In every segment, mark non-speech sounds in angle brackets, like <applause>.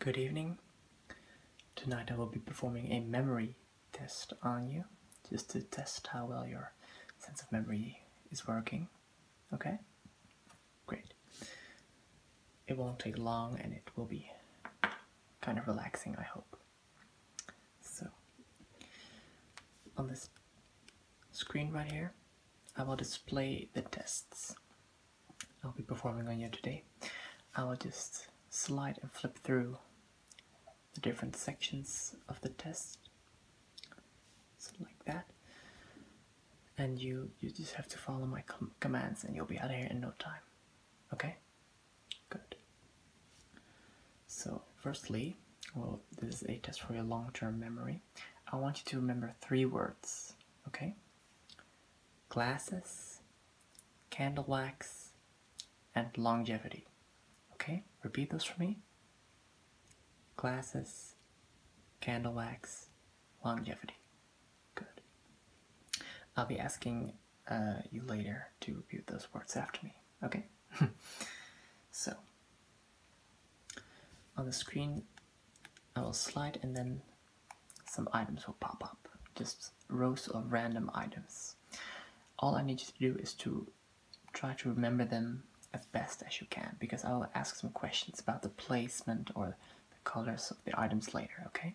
Good evening. Tonight I will be performing a memory test on you, just to test how well your sense of memory is working. Okay? Great. It won't take long and it will be kind of relaxing, I hope. So, on this screen right here, I will display the tests. I'll be performing on you today. I will just slide and flip through the different sections of the test, like that. And you, you just have to follow my commands and you'll be out of here in no time. Okay? Good. So, firstly, well, this is a test for your long-term memory. I want you to remember three words, okay? glasses, candle wax, and longevity. Okay, repeat those for me. Glasses, candle wax, longevity. Good. I'll be asking uh, you later to repeat those words after me. Okay? <laughs> so, on the screen, I will slide and then some items will pop up, just rows of random items. All I need you to do is to try to remember them as best as you can, because I will ask some questions about the placement or the colors of the items later, okay?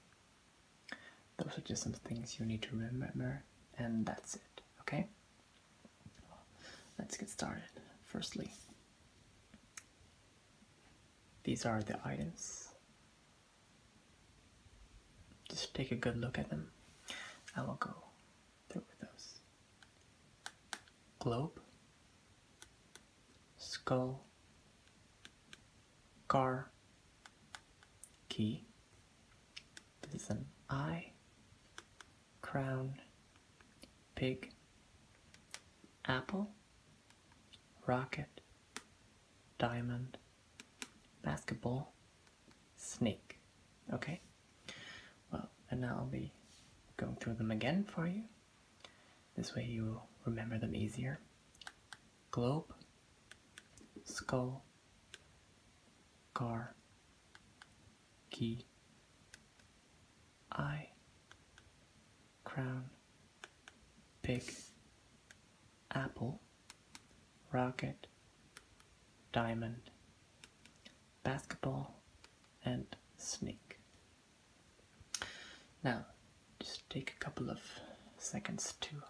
Those are just some things you need to remember, and that's it, okay? let's get started. Firstly, these are the items. Just take a good look at them. I will go through those. Globe, skull, car, key. This is an eye, crown, pig, apple, rocket, diamond, basketball, snake. Okay? Well, and now I'll be going through them again for you. This way you will remember them easier. Globe, skull, car, key, I crown Big. apple rocket diamond basketball and snake. Now just take a couple of seconds to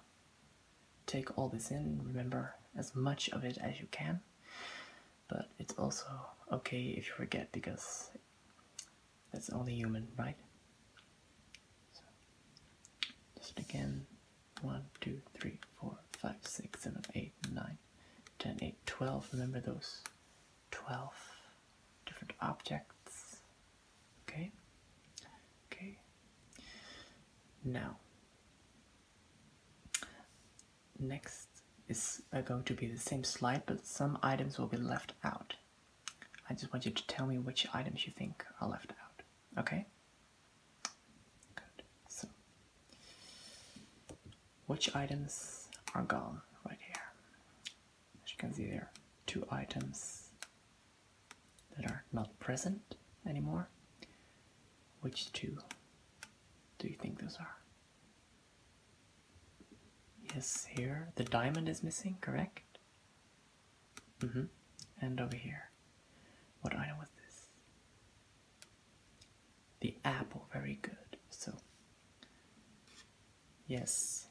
take all this in remember as much of it as you can but it's also okay if you forget because that's only human, right? just again, 1, 2, 3, 4, 5, 6, 7, 8, 9, 10, 8, 12. Remember those 12 different objects, okay? Okay. Now, next is uh, going to be the same slide, but some items will be left out. I just want you to tell me which items you think are left out, okay? Good. So, which items are gone right here? As you can see, there are two items that are not present anymore. Which two do you think those are? Yes, here. The diamond is missing, correct? Mm hmm. And over here. What item was this? The apple, very good. So, yes,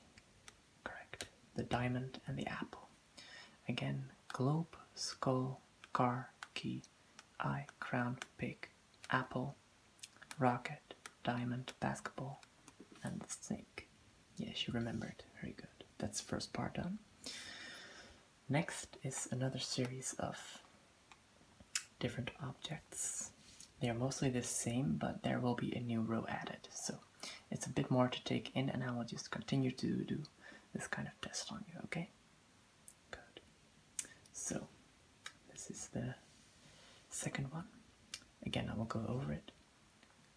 correct. The diamond and the apple. Again, globe, skull, car, key, eye, crown, pig apple, rocket, diamond, basketball, and the snake. Yes, you remembered. Very good. That's first part done. Next is another series of different objects. They are mostly the same, but there will be a new row added. So it's a bit more to take in, and I will just continue to do this kind of test on you, okay? Good. So, this is the second one. Again, I will go over it.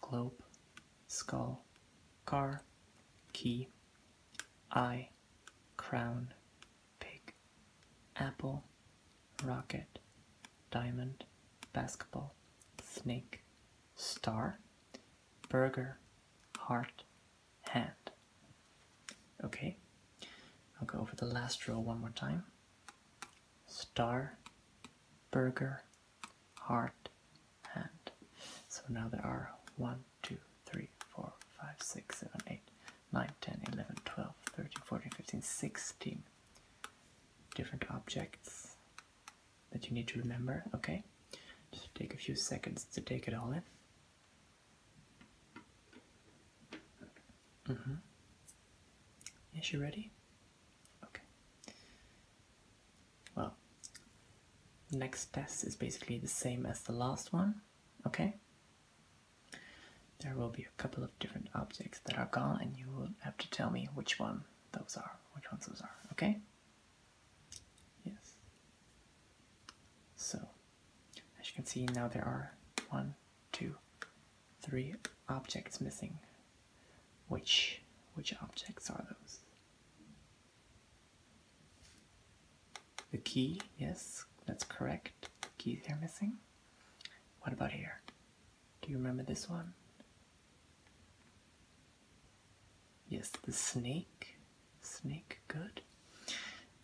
Globe, skull, car, key, eye, crown, pig, apple, rocket, diamond, basketball, snake, star, burger, heart, hand. Okay, I'll go over the last row one more time. Star, burger, heart, and So now there are one, two, three, four, five, six, seven, eight, nine, ten, eleven, twelve, thirteen, fourteen, fifteen, sixteen different objects that you need to remember. Okay, just take a few seconds to take it all in. Mm-hmm. Yes, you ready? Okay. Well, next test is basically the same as the last one, okay? There will be a couple of different objects that are gone and you will have to tell me which one those are, which ones those are, okay? Yes. So, as you can see now there are one, two, three objects missing. Which which objects are those? The key, yes, that's correct. The keys are missing. What about here? Do you remember this one? Yes, the snake snake, good.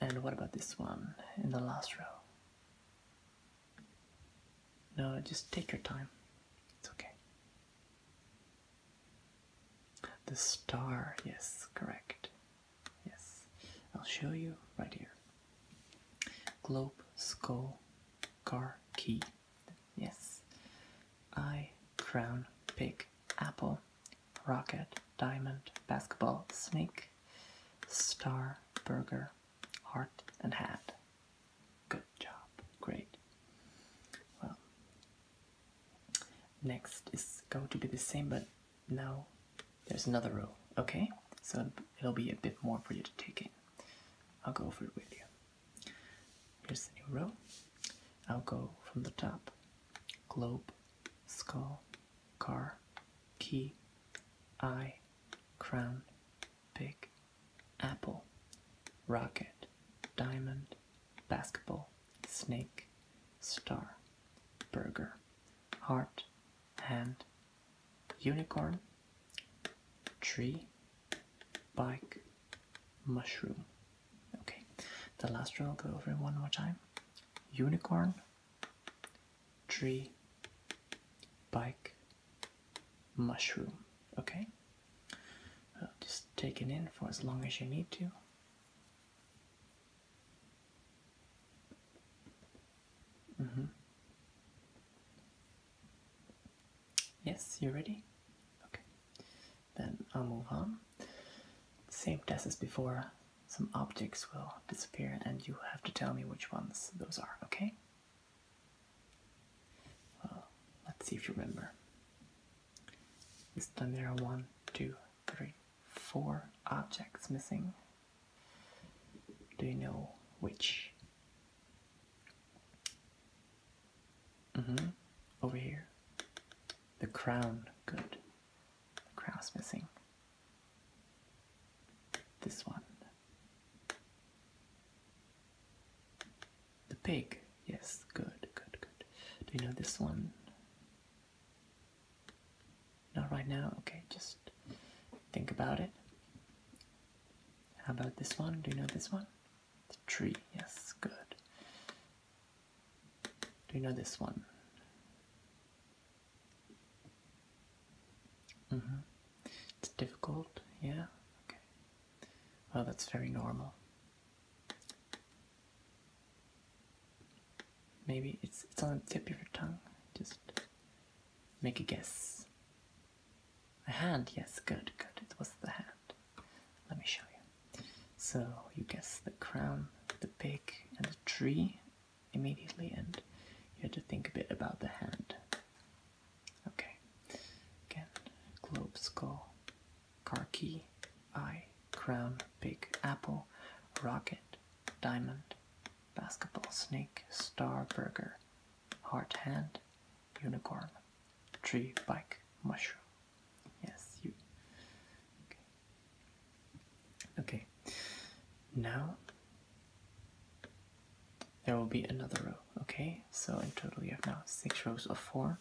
And what about this one in the last row? No, just take your time. It's okay. The star, yes, correct. Yes, I'll show you right here. Globe, skull, car, key. Yes. I crown, pick, apple, rocket, diamond, basketball, snake, star, burger, heart, and hat. Good job. Great. Well, next is going to be the same, but now there's another row. okay? So it'll be a bit more for you to take in. I'll go over it with you. Here's the new row. I'll go from the top. Globe, skull, car, key, eye, crown, pig, apple, rocket, diamond, basketball, snake, star, burger, heart, hand, unicorn, tree, bike, mushroom. Okay, the last row I'll go over one more time unicorn, tree, bike, mushroom. Okay? Uh, just take it in for as long as you need to. Mm -hmm. Yes, you are ready? Okay. Then I'll move on. Same test as before some objects will disappear and you have to tell me which ones those are, okay? Well, let's see if you remember. This time there are one, two, three, four objects missing. Do you know which? Mm-hmm. Over here. The crown. Good. The crown's missing. This one. The pig. Yes, good, good, good. Do you know this one? Not right now? Okay, just think about it. How about this one? Do you know this one? The tree. Yes, good. Do you know this one? Mm-hmm. It's difficult, yeah? Okay. Well, that's very normal. Maybe it's, it's on the tip of your tongue. Just make a guess. A hand, yes, good, good. It was the hand. Let me show you. So you guess the crown, the pig, and the tree immediately, and you had to think a bit about the hand. Okay, again, globe, skull, car key, eye, crown, pig, apple, rocket, diamond, basketball, snake, star, burger, heart, hand, unicorn, tree, bike, mushroom. Yes, Okay. okay. Now there will be another row. Okay, so in total you have now six rows of four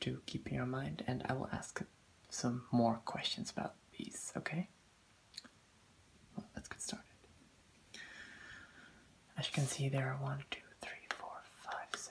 to keep in your mind, and I will ask some more questions about these. Okay. let's get started. As you can see, there are one, two, three, four, five, six.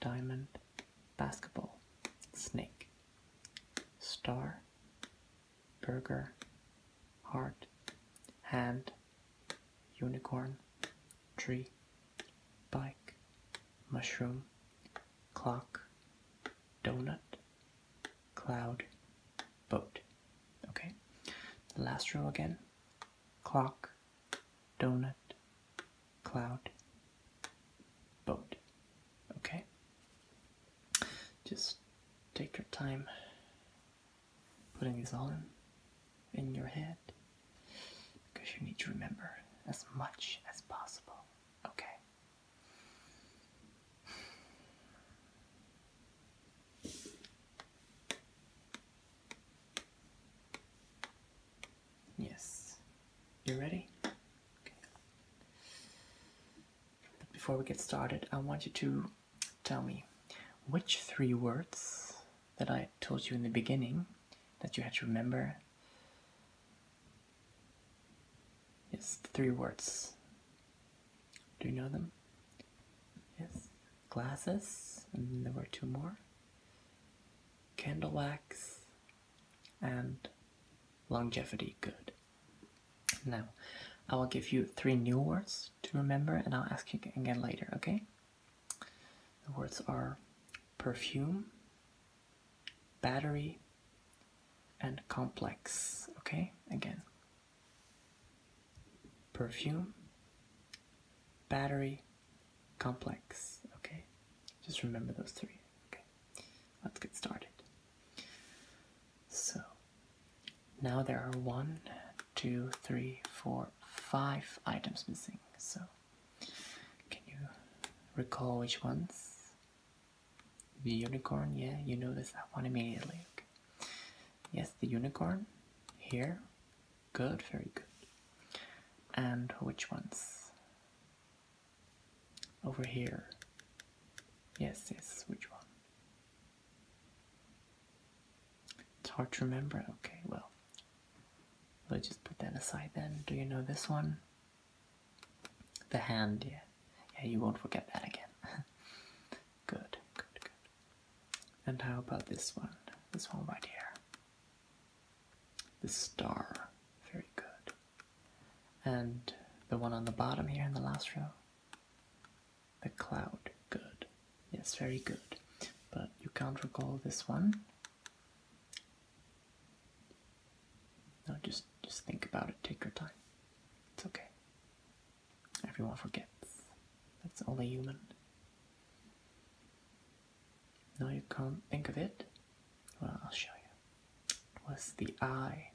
diamond, basketball, snake, star, burger, heart, hand, unicorn, tree, bike, mushroom, clock, donut, cloud, boat. Okay, last row again clock, donut, cloud, boat. Okay? Just take your time putting these all in in your head because you need to remember as much as possible. Okay. Yes. You ready? before we get started, I want you to tell me which three words that I told you in the beginning that you had to remember. Yes, three words. Do you know them? Yes glasses, and there were two more, candle wax, and longevity good. Now, I will give you three new words to remember, and I'll ask you again later, okay? The words are perfume, battery, and complex, okay? Again perfume, battery, complex. Okay, just remember those three. Okay, let's get started. So now there are one, two, three, four, five items missing. So can you recall which ones? The unicorn, yeah, you notice that one immediately. Okay. Yes, the unicorn here Good, very good. And which ones? Over here. Yes, yes, which one? It's hard to remember. Okay, well, we'll just put that aside then. Do you know this one? The hand, yeah. Yeah, you won't forget that again. <laughs> Good, good, good. And how about this one? This one right here. The star. Very good. And the one on the bottom here in the last row? The cloud. Good. Yes, very good. But you can't recall this one. No, just just think about it. Take your time. It's okay. Everyone forgets. That's only human. Now you can't think of it? Well, I'll show you. It was the eye.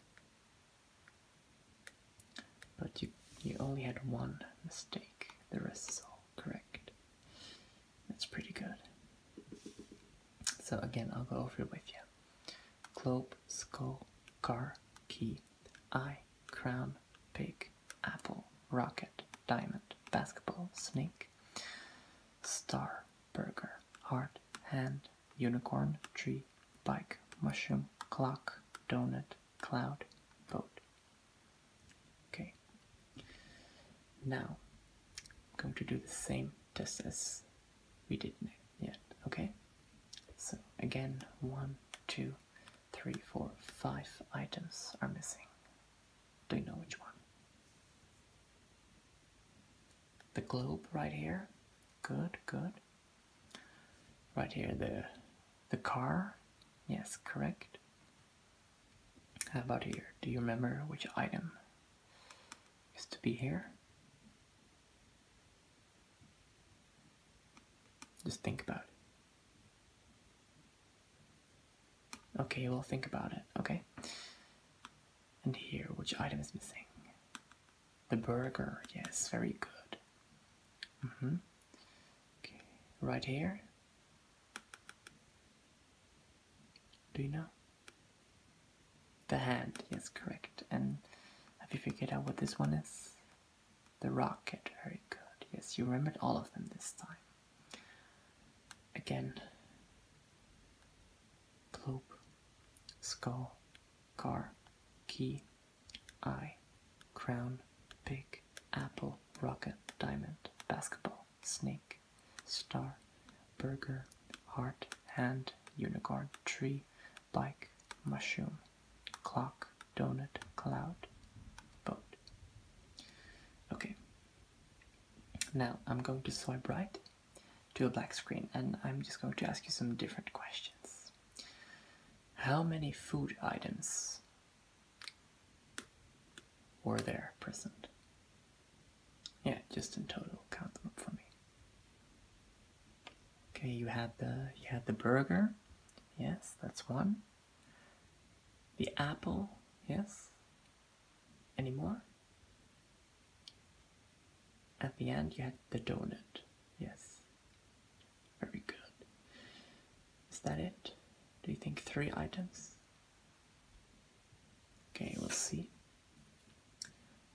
But you, you only had one mistake. The rest is all correct. That's pretty good. So again, I'll go over it with you. Globe, skull, car, key, eye, crown, pig, apple, rocket, diamond, basketball, snake, star, burger, heart, hand, unicorn, tree, bike, mushroom, clock, donut, cloud, boat. Okay. Now, I'm going to do the same test as we did yet, okay? So again, one, two, three, four, five items are missing. Do you know which one? The globe right here. Good, good. Right here, the the car. Yes, correct. How about here? Do you remember which item is to be here? Just think about it. Okay, we'll think about it. Okay. And here, which item is missing? The burger. Yes, very good. Mm-hmm. Okay, right here. Do you know? The hand. Yes, correct. And have you figured out what this one is? The rocket, very good. Yes, you remembered all of them this time. Again. globe, Skull. Car. Key. Eye. Crown. Pig. Apple. Rocket. Diamond. Basketball. Snake. Star. Burger. Heart. Hand. Unicorn. Tree like mushroom, clock, donut, cloud, boat. Okay, now I'm going to swipe right to a black screen and I'm just going to ask you some different questions. How many food items were there present? Yeah, just in total, count them up for me. Okay, you had the you had the burger. Yes, that's one. The apple. Yes. Any more? At the end, you had the donut. Yes. Very good. Is that it? Do you think three items? Okay, we'll see.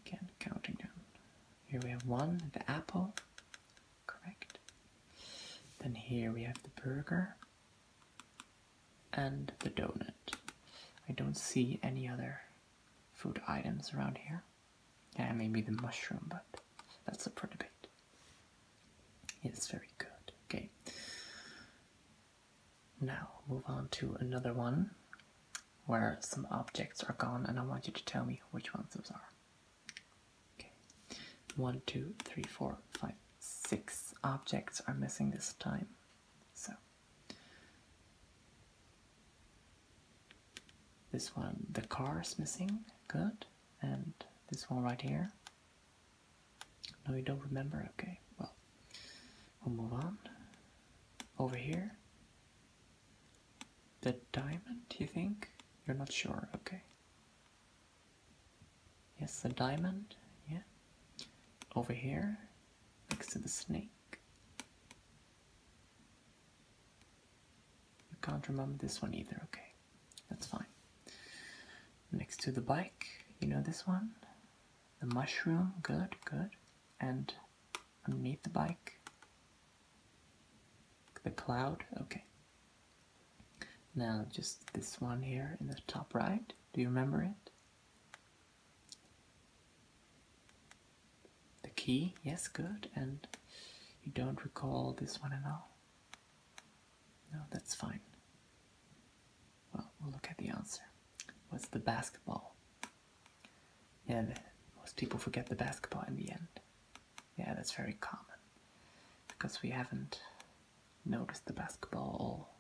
Again, counting down. Here we have one, the apple, correct. Then here we have the burger and the donut. I don't see any other food items around here. Yeah, maybe the mushroom, but that's a for debate. Yes, very good. Okay. Now, move on to another one where some objects are gone, and I want you to tell me which ones those are. Okay. One, two, three, four, five, six objects are missing this time. So this one, the car is missing. Good. And this one right here. No, you don't remember? Okay, well, we'll move on. Over here, the diamond, you think? You're not sure, okay. Yes, the diamond, yeah. Over here, next to the snake. You can't remember this one either, okay. That's fine. Next to the bike, you know this one? The mushroom, good, good. And underneath the bike, the cloud, okay. Now just this one here in the top right. Do you remember it? The key, yes, good. And you don't recall this one at all? No, that's fine. Well, we'll look at the answer. What's the basketball? Yeah, most people forget the basketball in the end. Yeah, that's very common because we haven't noticed the basketball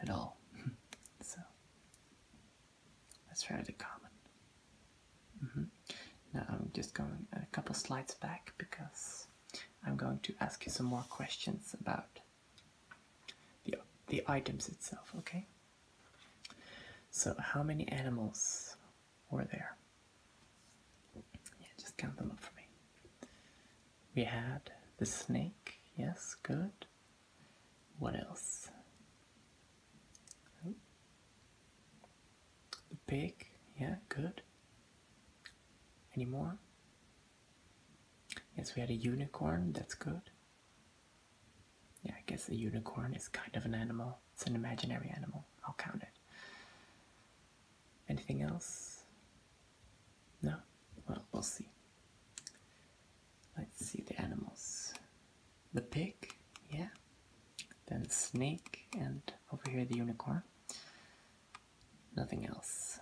at all. <laughs> so that's rather common. Mm-hmm. Now I'm just going a couple slides back because I'm going to ask you some more questions about the the items itself. Okay. So, how many animals were there? just count them up for me. We had the snake. Yes, good. What else? Oh. The pig. Yeah, good. Any more? Yes, we had a unicorn. That's good. Yeah, I guess a unicorn is kind of an animal. It's an imaginary animal. I'll count it. Anything else? No? Well, we'll see. Let's see the animals. The pig, yeah. Then snake, and over here the unicorn. Nothing else,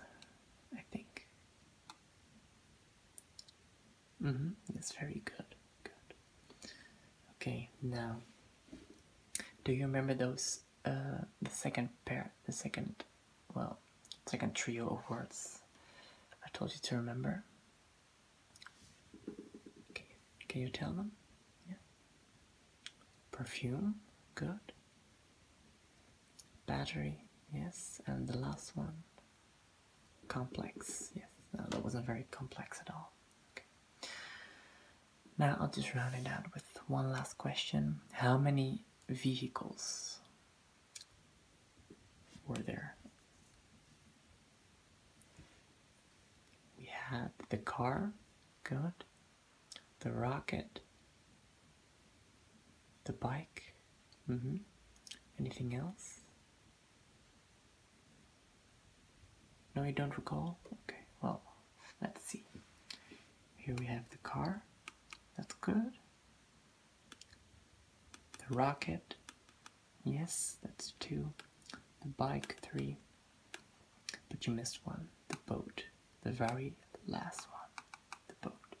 I think. Mm -hmm. That's very good. Good. Okay, now, do you remember those? Uh, the second pair, the second, well, second trio of words I told you to remember. Can you, can you tell them? Yeah. Perfume. Good. Battery. Yes. And the last one complex. Yes, that wasn't very complex at all. Okay. Now I'll just round it out with one last question. How many vehicles were there? We had the car, good. The rocket, the bike. Mm -hmm. Anything else? No, you don't recall? Okay, well, let's see. Here we have the car. That's good. The rocket. Yes, that's two. The bike, three. But you missed one. The boat. The very last one. The boat.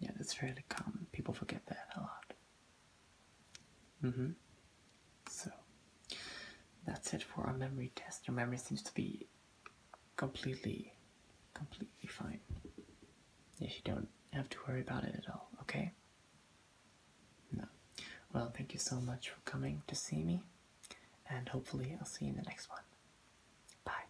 Yeah, that's fairly common. People forget that a lot. Mm-hmm. So that's it for our memory test. Your memory seems to be completely, completely fine. Yes, you don't have to worry about it at all, okay? No. Well, thank you so much for coming to see me, and hopefully I'll see you in the next one. Bye.